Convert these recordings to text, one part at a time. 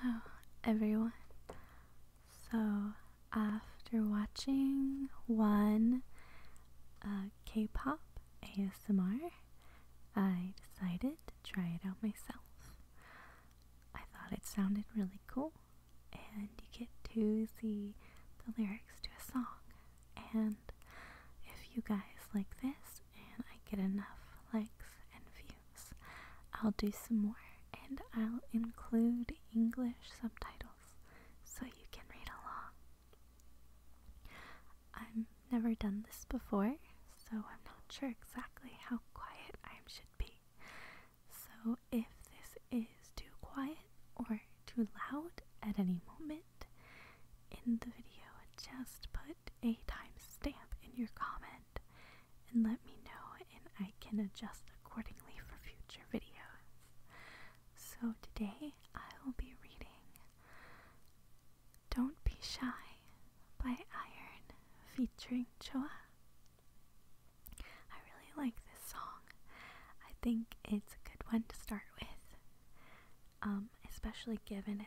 Hello, everyone. So, after watching one uh, K pop ASMR, I decided to try it out myself. I thought it sounded really cool, and you get to see the lyrics to a song. And if you guys like this and I get enough likes and views, I'll do some more and I'll include English subtitles so you can read along. I've never done this before, so I'm not sure exactly how quiet I should be. So if this is too quiet or too loud at any moment, in the video, just put a timestamp in your comment and let me know, and I can adjust accordingly for future videos. So today I will be reading Don't Be Shy by Iron featuring Choa. I really like this song. I think it's a good one to start with, um, especially given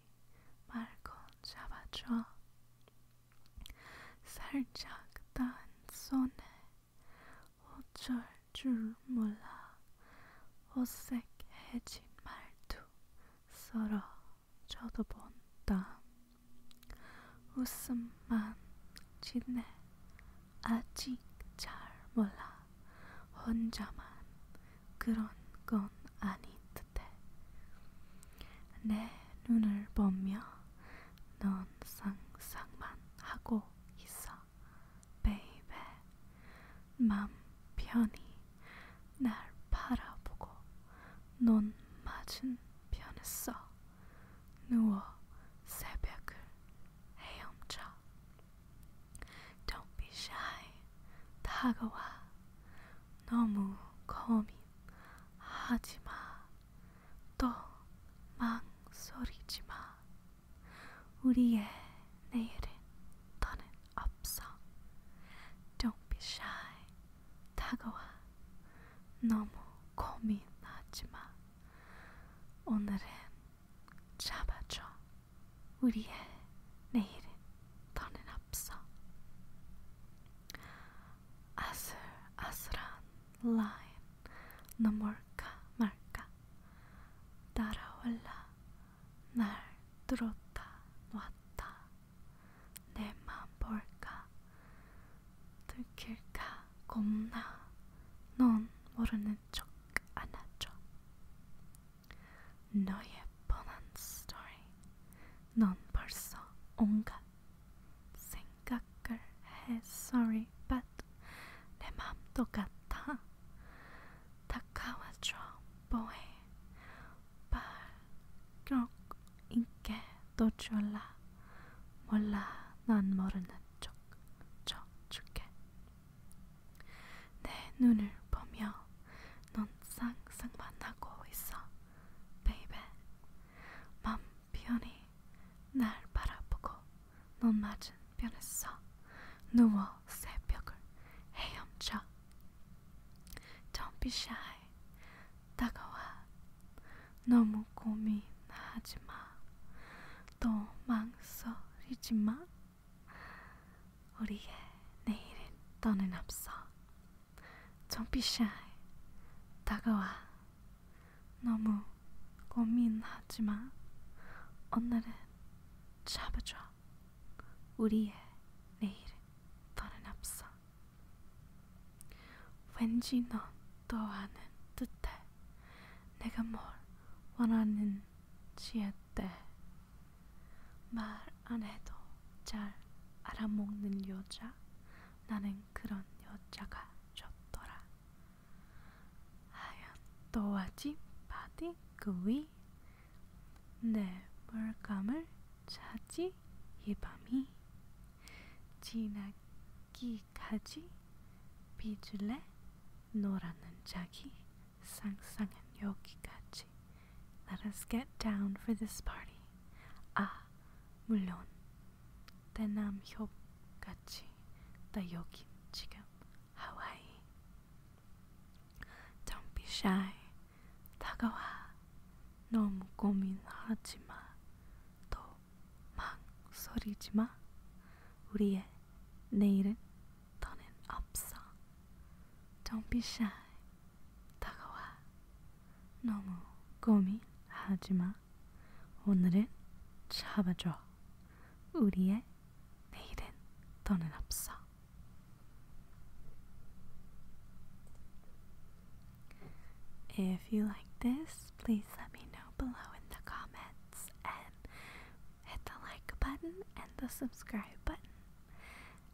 말고 잡아줘. 살짝 단 손에 어쩔 줄 몰라 어색해진 말투 서로 쳐다본다. 웃음만 지내 아직 잘 몰라. 혼자만 그런 건 아니 듯해. 내 눈을 보며 넌 상상만 하고 있어, 베이베. 맘 편히 날 바라보고 넌 맞은 편에서 누워 새벽을 헤엄쳐. Don't be shy. 다가와. 너무 거민하지 마. 또 망설이지 마. 우리의 내일은 더는 없어. Don't be shy. 다가와. 너무 고민하지 마. 오늘은 잡아줘. 우리의 내일은 더는 없어. 아슬아슬한 라인 넘을까 말까 따라올라 날 뚫었다 놨다 내 맘 볼까 들킬까 겁나 넌 모르는 척 안아줘. 너의 뻔한 스토리. 넌 벌써 온갖 생각을 해. Sorry, but 내 맘도 같아. 다가와줘, boy. 발꼭 있게 도줄라 몰라, 난 모르는 척, 척 줄게. 내 눈을 보며 넌 쌍쌍 만나고 있어, 베이베. 맘 편히 날 바라보고 넌 맞은 편에서 누워 새벽을 헤엄쳐. Don't be shy. 다가와. 너무 고민하지 마. 또 망설이지 마. 우리의 내일은 더는 없어. 정피샤 다가와. 너무 고민하지 마. 오늘은 잡아줘. 우리의 내일은 더는 없어. 왠지 넌또 아는 듯해. 내가 뭘 원하는지에 때말 안 해도 잘 알아먹는 여자 나는 그런 여자가 좋더라 하얀 또아지 바디 그 위 내 물감을 차지 이 밤이 지나게 여기까지 빚을래? 노라는 자기 상상은 여기까지 Let us get down for this party 아 물론 대남협같이 나 여기 지금 하와이 Don't be shy 다가와 너무 고민하지마 더 망설이지 마. 우리의 내일은 더는 없어. Don't be shy. 다가와. 너무 고민하지 마. 오늘은 잡아줘. 우리의 내일은 더는 없어. If you like this, please let me know below in the comments and hit the like button and the subscribe button.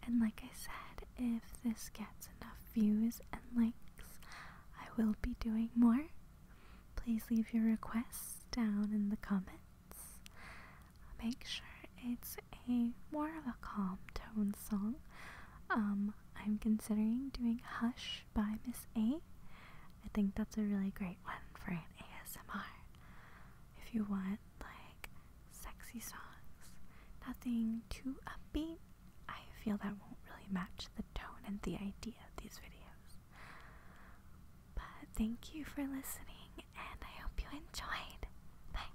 And like I said, if this gets enough views and likes, I will be doing more. Please leave your requests down in the comments. make sure it's a more of a calm tone song. Um, I'm considering doing Hush by Miss A. I think that's a really great one for an ASMR. If you want like sexy songs, nothing too upbeat, I feel that won't really match the tone and the idea of these videos. But thank you for listening and I hope you enjoyed. Bye.